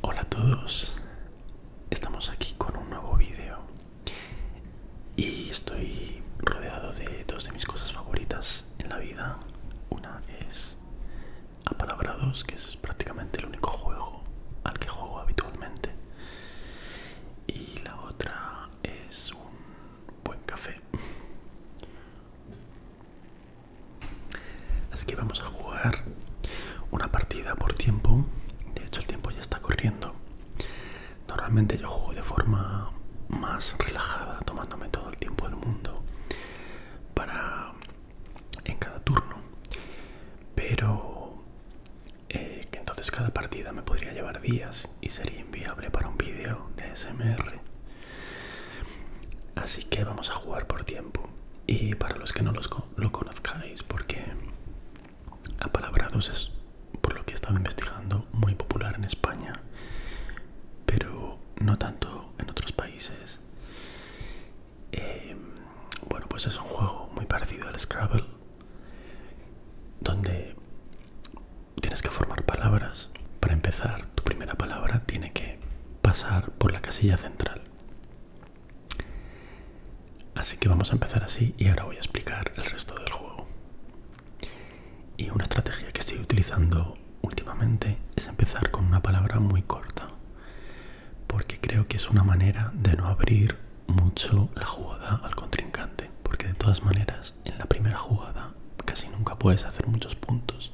Hola a todos, estamos aquí con un nuevo vídeo y estoy rodeado de dos de mis cosas favoritas en la vida. Una es a Apalabrados, que es prácticamente el único juego al que juego habitualmente, y la otra es un buen café. Así que vamos a jugar una partida por tiempo. De hecho, el tiempo ya está corriendo. Normalmente yo juego de forma más relajada, tomándome todo el tiempo del mundo para en cada turno. Pero eh, que entonces cada partida me podría llevar días y sería inviable para un vídeo de SMR. Así que vamos a jugar por tiempo. Y para los que no lo conozcáis, porque Apalabrados es, por lo que he estado investigando, muy popular en España, pero no tanto en otros países. Em, bueno, pues es un juego muy parecido al Scrabble, donde tienes que formar palabras. Para empezar, tu primera palabra tiene que pasar por la casilla central. Así que vamos a empezar así y ahora voy a explicar el resto del juego. Y una estrategia que estoy utilizando últimamente es empezar con una palabra muy corta, porque creo que es una manera de no abrir mucho la jugada al contrincante, porque de todas maneras en la primera jugada casi nunca puedes hacer muchos puntos,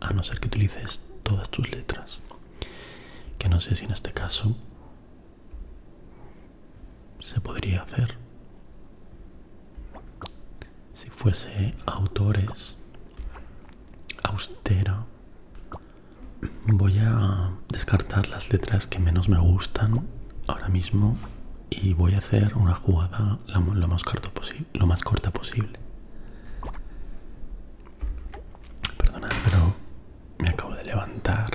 a no ser que utilices todas tus letras que no sé si en este caso se podría hacer si fuese autores austera voy a descartar las letras que menos me gustan ahora mismo y voy a hacer una jugada lo más corto posible lo más corta posible. Perdonad, pero me acabo de levantar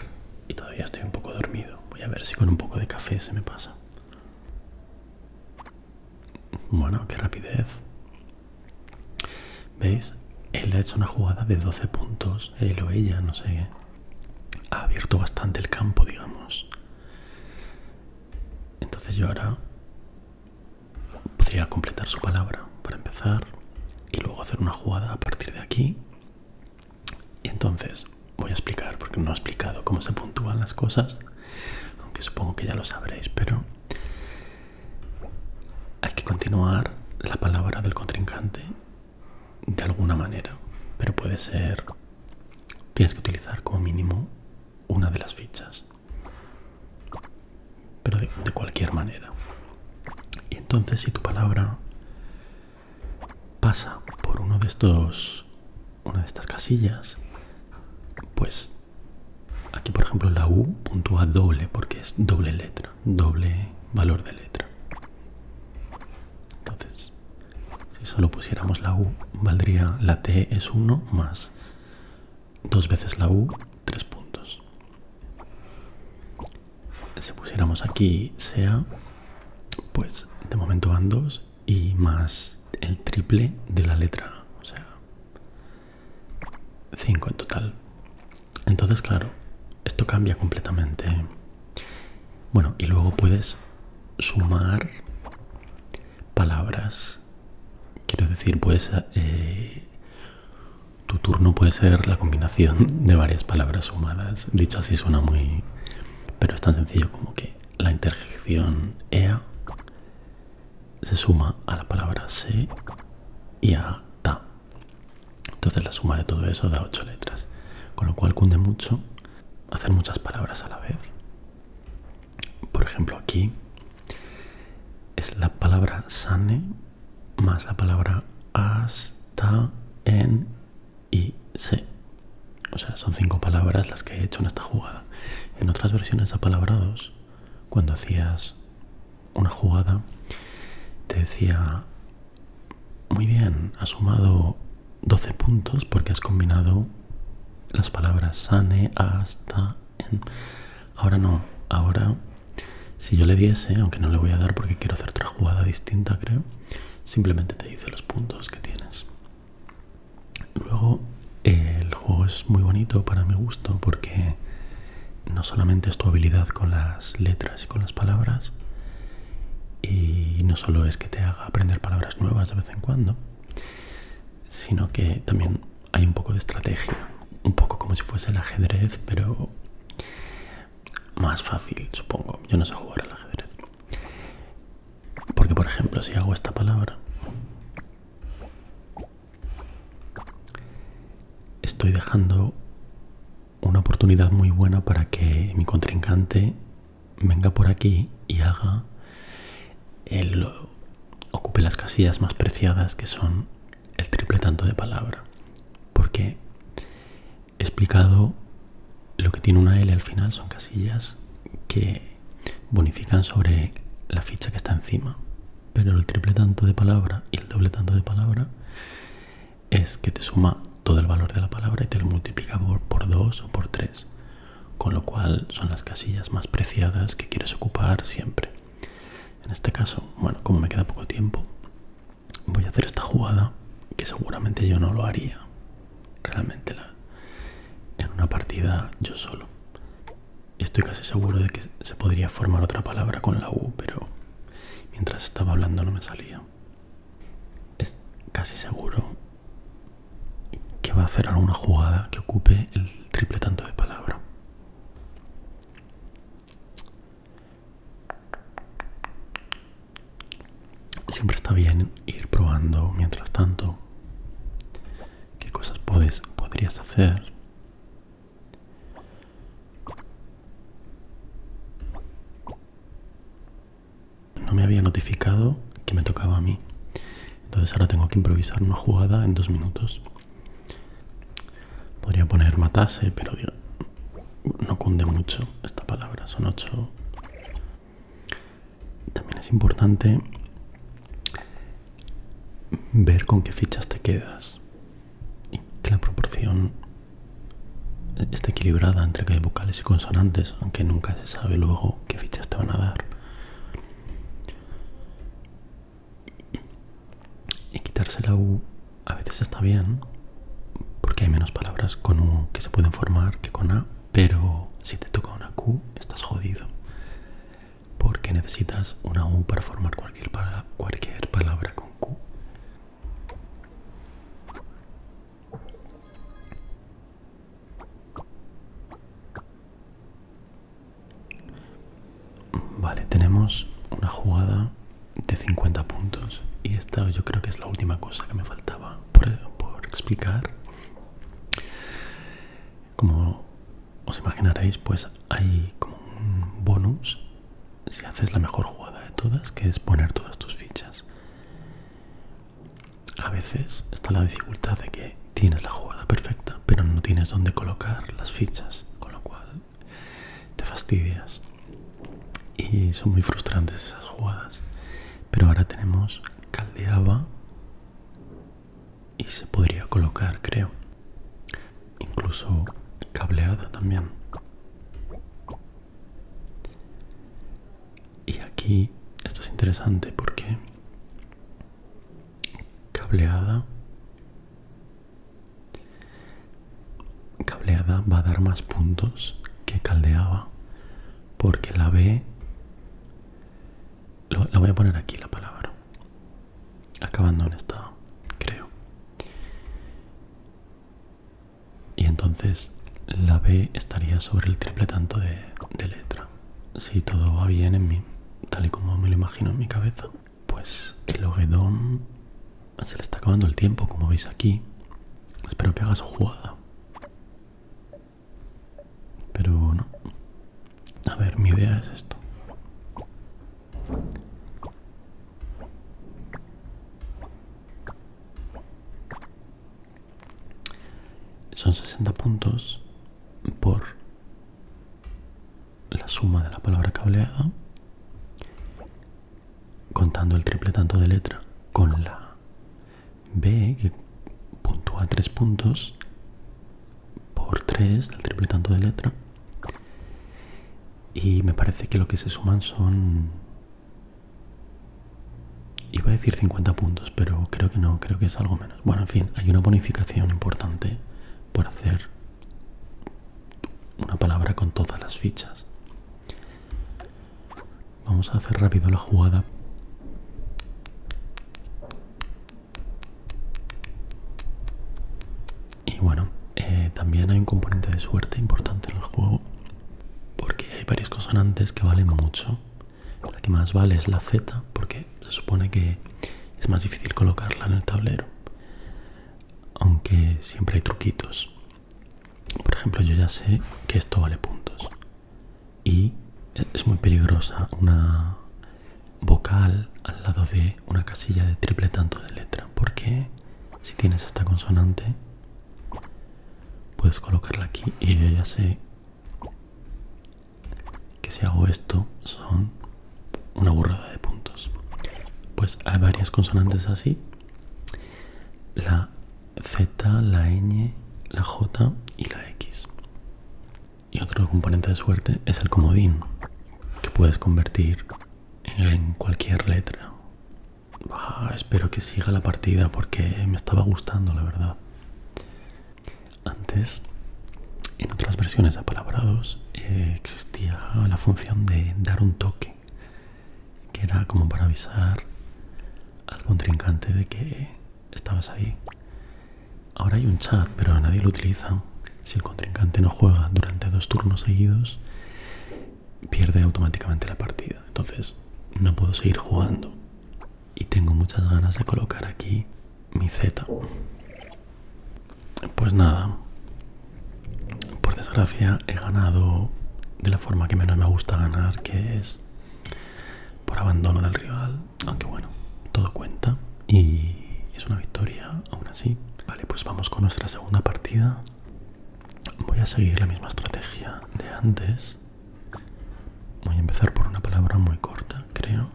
y todavía estoy un poco dormido. Voy a ver si con un poco de café se me pasa. Bueno, qué rapidez. ¿Veis? Él ha hecho una jugada de 12 puntos, él o ella, no sé. Ha abierto bastante el campo, digamos. Entonces yo ahora podría completar su palabra para empezar y luego hacer una jugada a partir de aquí. Y entonces voy a explicar, porque no he explicado cómo se puntúan las cosas, aunque supongo que ya lo sabréis, pero hay que continuar la palabra del contrincante de alguna manera, pero puede ser, tienes que utilizar como mínimo una de las fichas pero de, cualquier manera. Y entonces si tu palabra pasa por uno de estos, una de estas casillas, pues aquí por ejemplo la U puntúa doble porque es doble letra, doble valor de letra. Entonces, si solo pusiéramos la U, valdría la T es 1 más dos veces la U, tres puntos. Si pusiéramos aquí sea, pues de momento van dos y más el triple de la letra, o sea, cinco en total. Entonces, claro, esto cambia completamente. Bueno, y luego puedes sumar palabras Quiero decir, pues eh, tu turno puede ser la combinación de varias palabras sumadas. Dicho así suena muy... Pero es tan sencillo como que la interjección ea se suma a la palabra se y a ta. Entonces la suma de todo eso da ocho letras. Con lo cual cunde mucho hacer muchas palabras a la vez. Por ejemplo, aquí es la palabra sane más la palabra hasta en y se. O sea, son cinco palabras las que he hecho en esta jugada. En otras versiones apalabrados, cuando hacías una jugada, te decía, muy bien, has sumado 12 puntos porque has combinado las palabras sane, hasta, en. Ahora no, ahora si yo le diese, aunque no le voy a dar porque quiero hacer otra jugada distinta, creo, simplemente te dice los puntos que tienes. Luego, el juego es muy bonito para mi gusto porque no solamente es tu habilidad con las letras y con las palabras, y no solo es que te haga aprender palabras nuevas de vez en cuando, sino que también hay un poco de estrategia, un poco como si fuese el ajedrez, pero más fácil, supongo. Yo no sé jugar al ajedrez. Porque, por ejemplo, si hago esta palabra, estoy dejando una oportunidad muy buena para que mi contrincante venga por aquí y haga el ocupe las casillas más preciadas que son el triple tanto de palabra. Porque he explicado lo que tiene una L al final, son casillas que bonifican sobre la ficha que está encima. Pero el triple tanto de palabra y el doble tanto de palabra es que te suma todo el valor de la palabra y te lo multiplica por 2 o por 3 con lo cual son las casillas más preciadas que quieres ocupar siempre. En este caso, bueno, como me queda poco tiempo, voy a hacer esta jugada que seguramente yo no lo haría realmente en una partida yo solo. Estoy casi seguro de que se podría formar otra palabra con la U, pero mientras estaba hablando no me salía. Es casi seguro que va a hacer alguna jugada que ocupe el triple tanto de palabra. Siempre está bien ir probando mientras tanto qué cosas puedes, podrías hacer. No me había notificado que me tocaba a mí. Entonces ahora tengo que improvisar una jugada en dos minutos. Podría poner matase, pero no cunde mucho esta palabra. Son ocho. También es importante ver con qué fichas te quedas y que la proporción esté equilibrada entre que hay vocales y consonantes, aunque nunca se sabe luego qué fichas te van a dar. Y quitarse la U a veces está bien, porque hay menos palabras con U que se pueden formar que con A, pero si te toca una Q estás jodido, porque necesitas una U para formar cualquier, palabra con Q. Vale, tenemos una jugada de 50 puntos y esta yo creo que es la última cosa que me faltaba por, explicar. Como os imaginaréis, pues hay como un bonus si haces la mejor jugada de todas, que es poner todas tus fichas. A veces está la dificultad de que tienes la jugada perfecta, pero no tienes dónde colocar las fichas, con lo cual te fastidias. Y son muy frustrantes esas jugadas. Pero ahora tenemos caldeaba y se podría colocar, creo. Incluso cableada también. Y aquí esto es interesante porque cableada cableada va a dar más puntos que caldeaba porque la B lo, la voy a poner aquí la palabra acabando en esta creo y entonces la B estaría sobre el triple tanto de letra si todo va bien en mí, tal y como me lo imagino en mi cabeza, pues el Ogedón se le está acabando el tiempo, como veis aquí. Espero que hagas jugada. Pero bueno, A ver, mi idea es esto. Son 60 puntos por la suma de la palabra cableada, contando el triple tanto de letra con la B, que puntúa tres puntos, por tres del triple tanto de letra. Y me parece que lo que se suman son... Iba a decir 50 puntos, pero creo que no, creo que es algo menos. Bueno, en fin, hay una bonificación importante por hacer una palabra con todas las fichas. Vamos a hacer rápido la jugada. Y bueno, eh, también hay un componente de suerte importante en el juego, porque hay varias consonantes que valen mucho la que más vale es la Z porque se supone que es más difícil colocarla en el tablero. Aunque siempre hay truquitos. Por ejemplo, yo ya sé que esto vale puntos. Y es muy peligrosa una vocal al lado de una casilla de triple tanto de letra. Porque si tienes esta consonante, puedes colocarla aquí y yo ya sé que si hago esto son una burrada de puntos. Pues hay varias consonantes así. La Z, la ñ, la J y la X. Y otro componente de suerte es el comodín, que puedes convertir en cualquier letra. espero que siga la partida porque me estaba gustando, la verdad. Antes, en otras versiones apalabrados, eh, existía la función de dar un toque, que era como para avisar al contrincante de que estabas ahí. Ahora hay un chat, pero a nadie lo utiliza. Si el contrincante no juega durante dos turnos seguidos, pierde automáticamente la partida. Entonces, no puedo seguir jugando y tengo muchas ganas de colocar aquí mi Z. Pues nada, por desgracia he ganado de la forma que menos me gusta ganar, que es por abandono del rival, aunque bueno, todo cuenta y es una victoria aún así. Vale, pues vamos con nuestra segunda partida. Voy a seguir la misma estrategia de antes. Voy a empezar por una palabra muy corta, creo.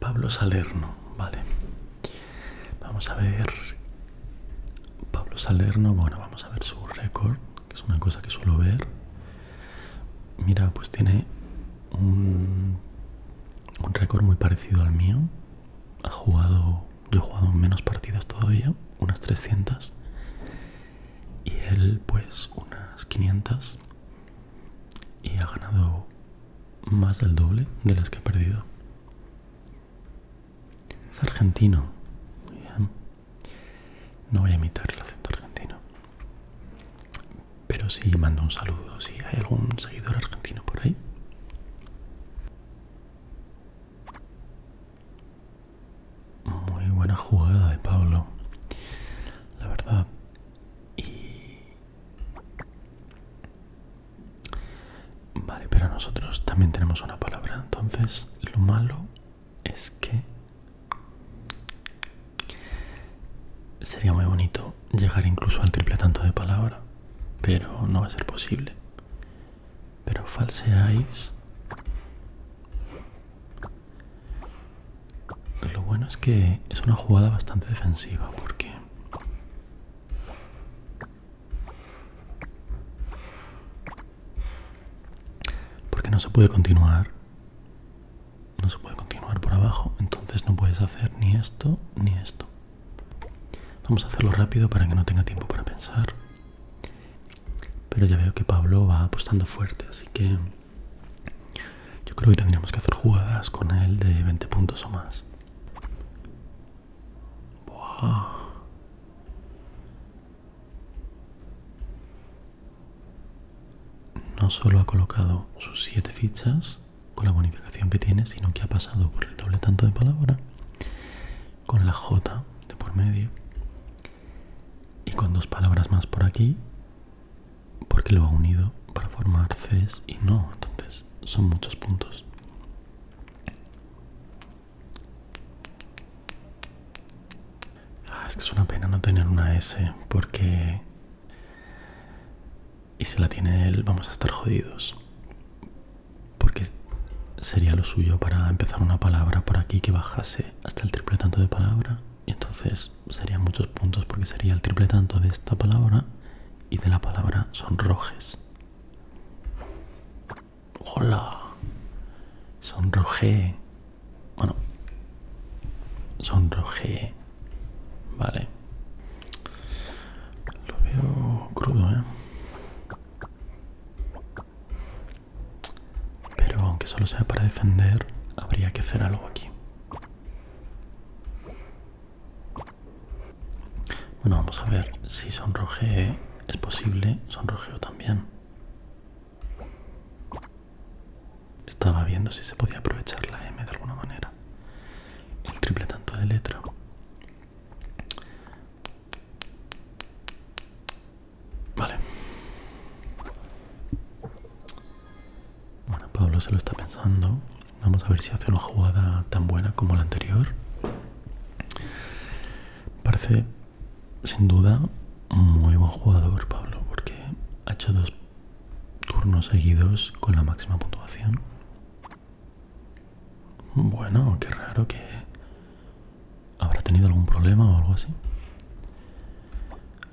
Pablo Salerno, vale. Vamos a ver. Pablo Salerno, bueno, vamos a ver su récord, que es una cosa que suelo ver. Mira, pues tiene un, récord muy parecido al mío. Ha jugado, yo he jugado menos partidas todavía, unas 300 y él pues unas 500 y ha ganado más del doble de las que ha perdido. Es argentino. No voy a imitar el acento argentino. Pero sí mando un saludo si hay algún seguidor argentino por ahí. Muy buena jugada de Pablo, la verdad. Y... Vale, pero nosotros también tenemos una palabra, entonces lo malo es que sería muy bonito llegar incluso al triple tanto de palabra, pero no va a ser posible. Pero falseáis lo bueno es que es una jugada bastante defensiva porque porque no se puede continuar no se puede continuar por abajo entonces no puedes hacer ni esto ni esto vamos a hacerlo rápido para que no tenga tiempo para pensar pero ya veo que Pablo va apostando fuerte, así que yo creo que tendríamos que hacer jugadas con él de 20 puntos o más. No solo ha colocado sus 7 fichas con la bonificación que tiene, sino que ha pasado por el doble tanto de palabra con la J de por medio y con dos palabras más por aquí porque lo ha unido para formar Cs y no, entonces son muchos puntos. Ah, es que es una pena no tener una S porque... Y si la tiene él vamos a estar jodidos. Porque sería lo suyo para empezar una palabra por aquí que bajase hasta el triple tanto de palabra y entonces serían muchos puntos porque sería el triple tanto de esta palabra y de la palabra sonrojes. Hola. Sonroje. Bueno. Sonroje. Vale. Lo veo crudo, ¿eh? Pero aunque solo sea para defender, habría que hacer algo aquí. Bueno, vamos a ver si sonroje es posible, sonrojeo también. Estaba viendo si se podía aprovechar la M de alguna manera. El triple tanto de letra. Vale. Bueno, Pablo se lo está pensando. Vamos a ver si hace una jugada tan buena como la anterior. Parece, sin duda, muy buen jugador Pablo, porque ha hecho dos turnos seguidos con la máxima puntuación. Bueno, qué raro que ¿Habrá tenido algún problema o algo así?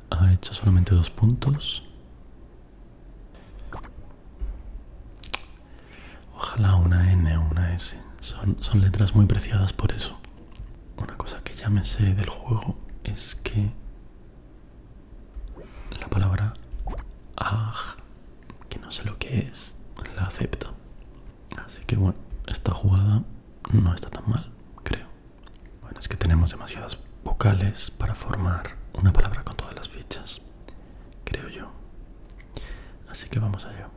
Ha hecho solamente dos puntos. Ojalá una N o una S. Son, son letras muy preciadas por eso. Una cosa que ya me sé del juego es que la palabra AG, que no sé lo que es, la acepto. Así que bueno, esta jugada no está tan mal, creo. Bueno, es que tenemos demasiadas vocales para formar una palabra con todas las fichas, creo yo. Así que vamos allá.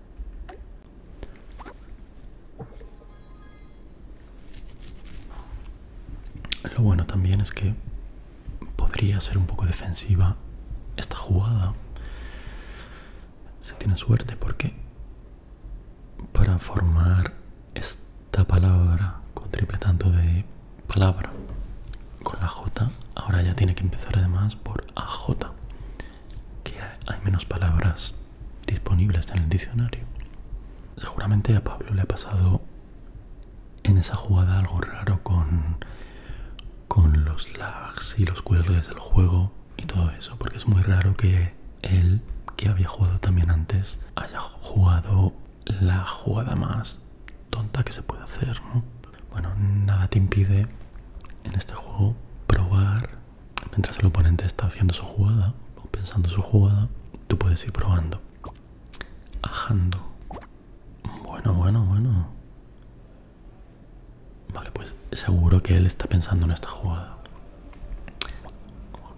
Lo bueno también es que podría ser un poco defensiva esta jugada. Se tiene suerte porque para formar esta palabra con triple tanto de palabra con la J, ahora ya tiene que empezar además por AJ, que hay menos palabras disponibles en el diccionario. Seguramente a Pablo le ha pasado en esa jugada algo raro con, los lags y los cuelgues del juego y todo eso, porque es muy raro que él, que había jugado también antes, haya jugado la jugada más tonta que se puede hacer, ¿no? Bueno, nada te impide en este juego probar, mientras el oponente está haciendo su jugada o pensando su jugada, tú puedes ir probando. Ajando. Bueno, bueno, bueno. Vale, pues seguro que él está pensando en esta jugada.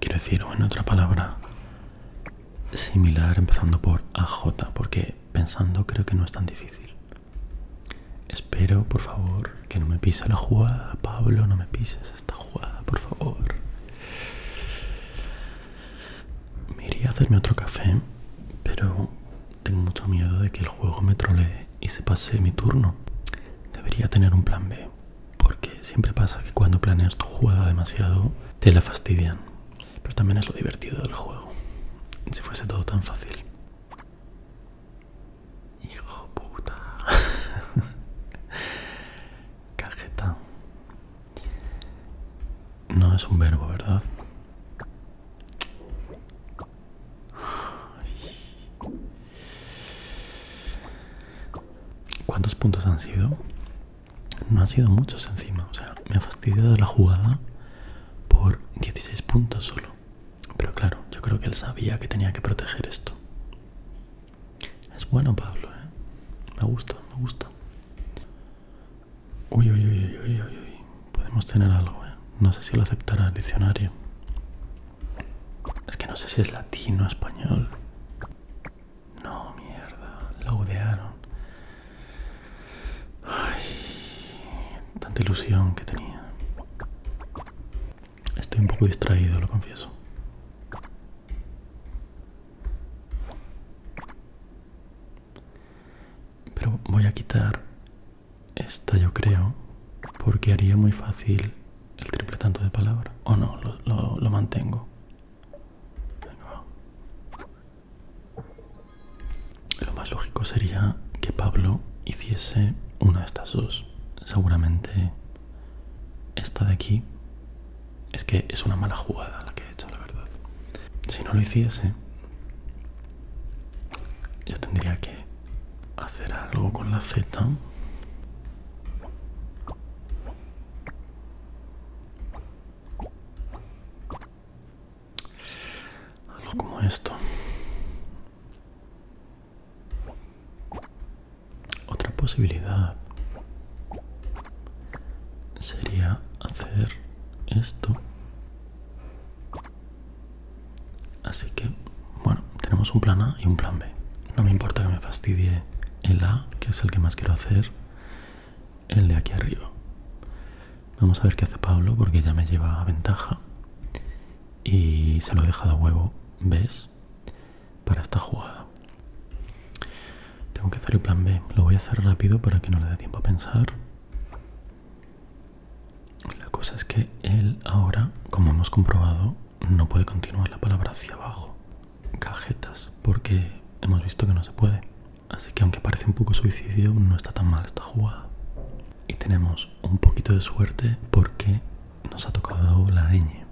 Quiero decir, o en otra palabra similar, empezando por AJ, porque pensando creo que no es tan difícil. Espero, por favor, que no me pise la jugada. Pablo, no me pises esta jugada, por favor. Me iría a hacerme otro café, pero tengo mucho miedo de que el juego me trolee y se pase mi turno. Debería tener un plan B, porque siempre pasa que cuando planeas tu juega demasiado te la fastidian. Pero también es lo divertido del juego. Si fuese todo tan fácil. Hijo puta. Cajeta. No es un verbo, ¿verdad? ¿Cuántos puntos han sido? No han sido muchos encima, o sea, me ha fastidiado la jugada por 16 puntos solo. Pero claro, yo creo que él sabía que tenía que proteger esto. Es bueno Pablo, ¿eh? Me gusta, me gusta. Uy, uy, uy, uy, uy, uy. Podemos tener algo, ¿eh? No sé si lo aceptará el diccionario. Es que no sé si es latino o español. No, mierda. Lo odiaron. Ay, tanta ilusión que tenía. Estoy un poco distraído, lo confieso. Pero voy a quitar esta yo creo, porque haría muy fácil el triple tanto de palabra. O no, lo, mantengo. Lo más lógico sería que Pablo hiciese una de estas dos. Seguramente esta de aquí es que es una mala jugada la que he hecho, la verdad. Si no lo hiciese, yo tendría que hacer algo con la Z. Algo como esto. Otra posibilidad sería hacer esto Así que, bueno, tenemos un plan A y un plan B. No me importa que me fastidie el A, que es el que más quiero hacer, el de aquí arriba. Vamos a ver qué hace Pablo, porque ya me lleva a ventaja. Y se lo he dejado a huevo, ¿ves? Para esta jugada. Tengo que hacer el plan B. Lo voy a hacer rápido para que no le dé tiempo a pensar. La cosa es que él ahora, como hemos comprobado, no puede continuar la palabra hacia abajo. Cajetas, porque hemos visto que no se puede. Así que aunque parece un poco suicidio, no está tan mal esta jugada. Y tenemos un poquito de suerte porque nos ha tocado la ñ.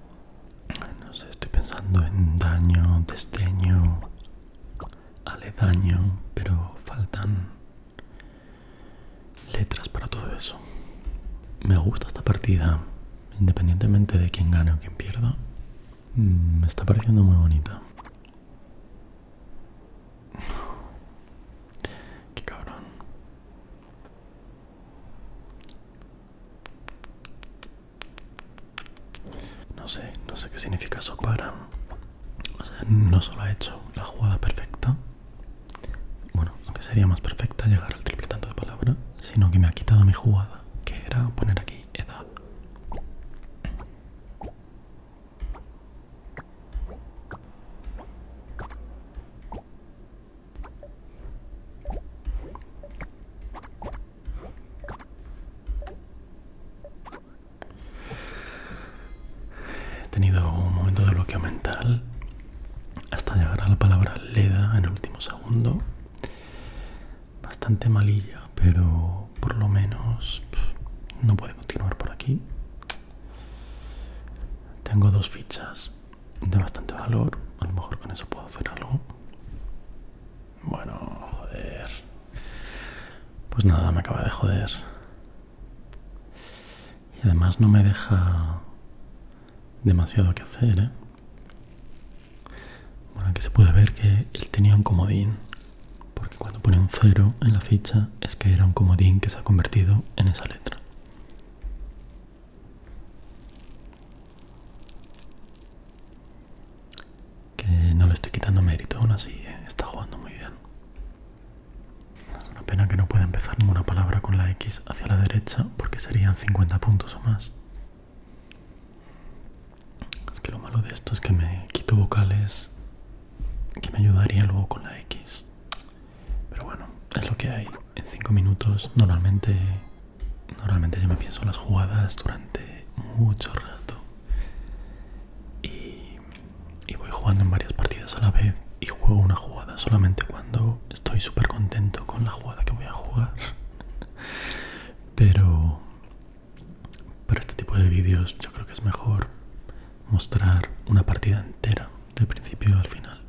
No sé, estoy pensando en daño, desdeño, daño, pero faltan letras para todo eso. Me gusta esta partida, independientemente de quién gane o quién pierda. Mm, me está pareciendo muy bonita. Qué cabrón. No sé, no sé qué significa para O sea, no solo ha hecho la jugada perfecta, bueno, aunque sería más perfecta llegar al triple tanto de palabra, sino que me ha quitado mi jugada, que era poner aquí edad. He tenido un momento de bloqueo mental hasta llegar a la palabra Leda en el último segundo. Bastante malilla, pero por lo menos no puede continuar por aquí. Tengo dos fichas de bastante valor, a lo mejor con eso puedo hacer algo. Bueno, joder. Pues nada, me acaba de joder. Y además no me deja demasiado que hacer, ¿eh? Bueno, aquí se puede ver que él tenía un comodín, porque cuando pone un cero en la ficha es que era un comodín que se ha convertido en esa letra. Que no le estoy quitando mérito, aún así ¿eh? está jugando muy bien. Es una pena que no pueda empezar ninguna palabra con la X hacia la derecha porque serían 50 puntos o más. Es que lo malo de esto es que me quito vocales que me ayudaría luego con la X. Pero bueno, es lo que hay. En 5 minutos normalmente, normalmente yo me pienso las jugadas durante mucho rato. Y y, voy jugando en varias partidas a la vez y juego una jugada solamente cuando estoy súper contento con la jugada que voy a jugar. Pero para este tipo de vídeos yo creo que es mejor mostrar una partida entera del principio al final.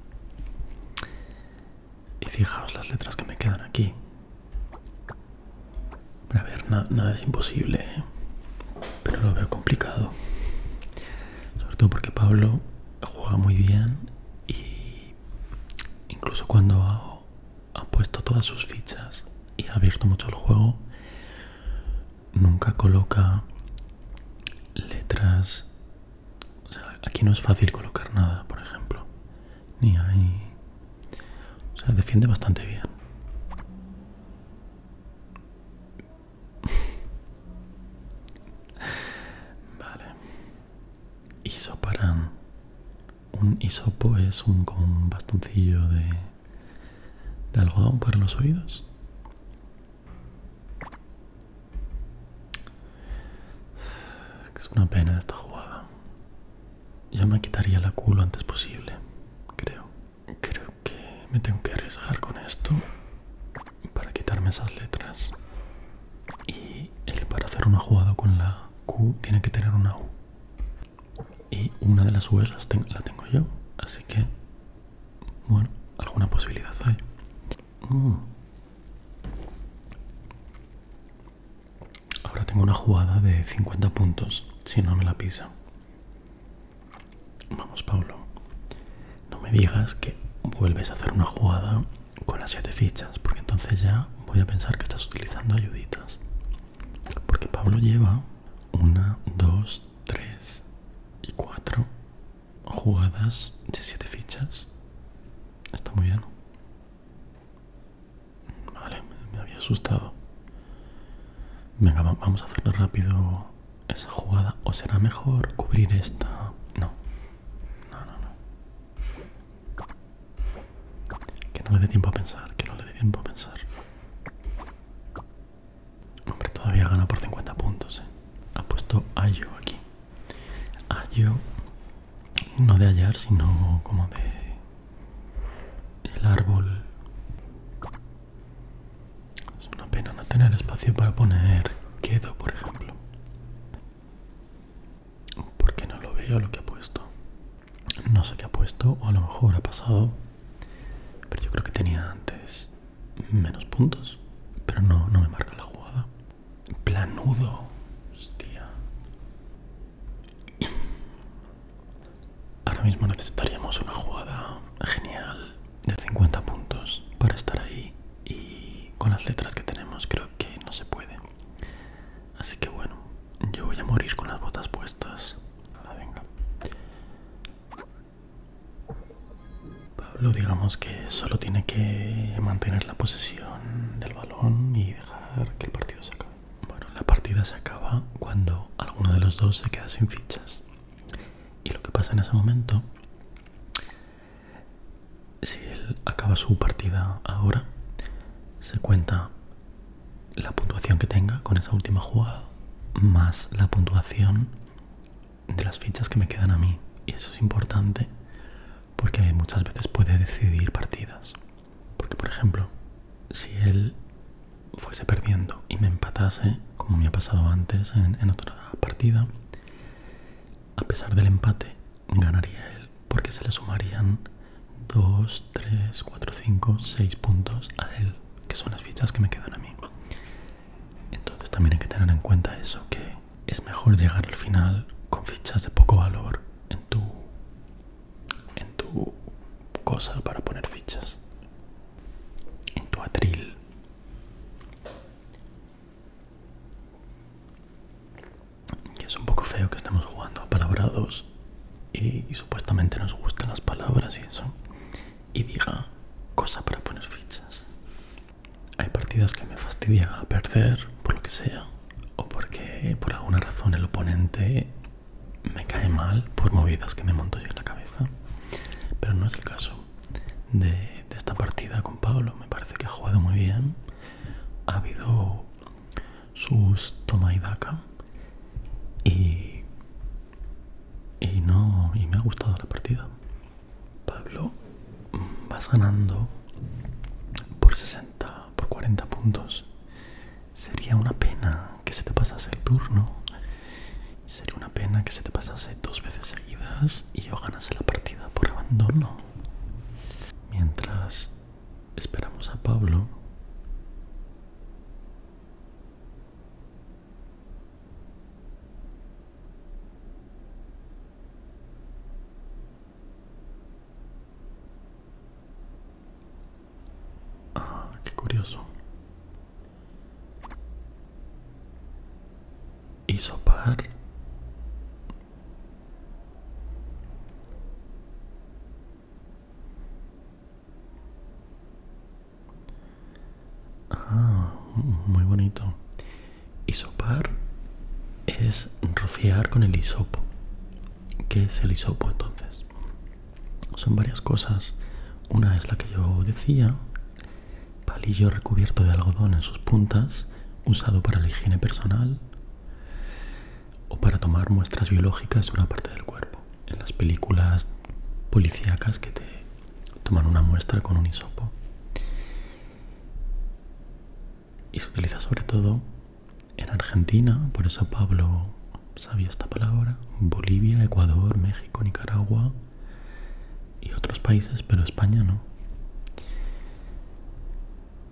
Y fijaos las letras que me quedan aquí. a ver, nada es imposible, ¿eh? pero lo veo complicado sobre todo porque Pablo juega muy bien y incluso cuando ha, puesto todas sus fichas y ha abierto mucho el juego, nunca coloca letras. aquí no es fácil colocar nada, por ejemplo. Ni ahí, O sea, defiende bastante bien. vale. Isoparán. Un isopo es un bastoncillo de, de algodón para los oídos. Es una pena esta jugada. Yo me quitaría la culo antes posible, creo. Creo que me tengo que arriesgar con esto para quitarme esas letras. Y para hacer una jugada con la Q tiene que tener una U. Y una de las U's la tengo yo. Así que, bueno, alguna posibilidad hay. Mm. Ahora tengo una jugada de 50 puntos si no me la pisa. Vamos, Pablo. No me digas que vuelves a hacer una jugada con las siete fichas, porque entonces ya voy a pensar que estás utilizando ayuditas. Porque Pablo lleva una, dos, tres y cuatro jugadas de siete fichas. Está muy bien. Vale, me había asustado. Venga, vamos a hacerlo rápido esa jugada. ¿O será mejor cubrir esta? No. No, no, no. Que no le dé tiempo a pensar, que no le dé tiempo a pensar. Hombre, todavía gana por 50 puntos, Ha eh. puesto Ayo aquí. Ayo, no de hallar, sino como de... El árbol... Es una pena no tener espacio para poner quedo, por ejemplo. Porque no lo veo lo que ha puesto. No sé qué ha puesto, o a lo mejor ha pasado. Pero yo creo que tenía antes menos puntos. Pero no, no me marca la jugada. Planudo. Hostia. Ahora mismo necesitaríamos una jugada genial de 50 puntos para estar ahí y con las letras que tenemos creo que no se puede. Así que bueno, yo voy a morir con las botas puestas. venga. Pablo digamos que solo tiene que mantener la posesión del balón y dejar que el partido se acabe. Bueno, la partida se acaba cuando alguno de los dos se queda sin fichas. Y lo que pasa en ese momento, si él acaba su partida ahora, se cuenta la puntuación que tenga con esa última jugada más la puntuación de las fichas que me quedan a mí. Y eso es importante porque muchas veces puede decidir partidas. Porque, por ejemplo, si él fuese perdiendo y me empatase, como me ha pasado antes en, otra partida, a pesar del empate, ganaría él porque se le sumarían 2, 3, 4, 5, 6 puntos a él, que son las fichas que me quedan a mí. Entonces también hay que tener en cuenta eso, que es mejor llegar al final con fichas de poco valor en tu, en tu cosa para poner fichas, en tu atril y es un poco feo que estemos jugando a palabrados y, y supuestamente nos gustan las palabras y eso. Y diga cosa para poner fichas. Hay partidas que me fastidia perder por lo que sea. O porque por alguna razón el oponente me cae mal por movidas que me monto yo en la cabeza pero no es el caso de, esta partida con Pablo. Me parece que ha jugado muy bien. Ha habido sus toma y daca y, y no y me ha gustado la partida. Pablo, vas ganando por 60, por 40 puntos. Sería una pena que se te pasase el turno. Sería una pena que se te pasase dos veces seguidas y yo ganase la partida por abandono. Mientras esperamos a Pablo. Ah, qué curioso. Isopar. Ah, mm, muy bonito. Isopar es rociar con el hisopo. ¿Qué es el hisopo entonces? Son varias cosas. Una es la que yo decía, palillo recubierto de algodón en sus puntas, usado para la higiene personal o para tomar muestras biológicas de una parte del cuerpo. En las películas policíacas que te toman una muestra con un hisopo. Y se utiliza sobre todo en Argentina, por eso Pablo sabía esta palabra, Bolivia, Ecuador, México, Nicaragua, y otros países, pero España no.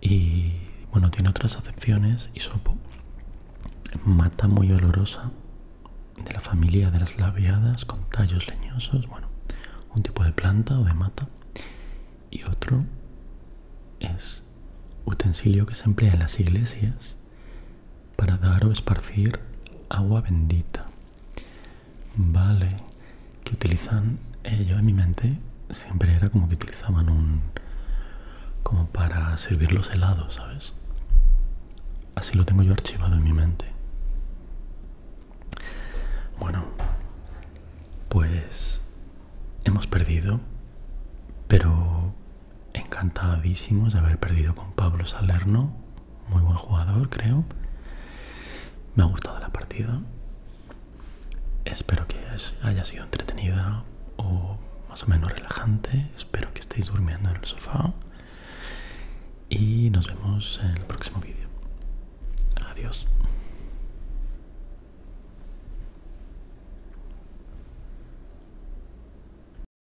Y bueno, tiene otras acepciones. y Hisopo, mata muy olorosa de la familia de las labiadas con tallos leñosos, bueno, un tipo de planta o de mata. Y otro es utensilio que se emplea en las iglesias para dar o esparcir agua bendita. Vale, que utilizan, ello eh, en mi mente siempre era como que utilizaban un... como para servir los helados, ¿sabes? Así lo tengo yo archivado en mi mente. Bueno, pues hemos perdido, pero encantadísimos de haber perdido con Pablo Salerno muy buen jugador, creo. Me ha gustado la partida. Espero que haya sido entretenida o más o menos relajante. Espero que estéis durmiendo en el sofá. Y nos vemos en el próximo vídeo. Adiós.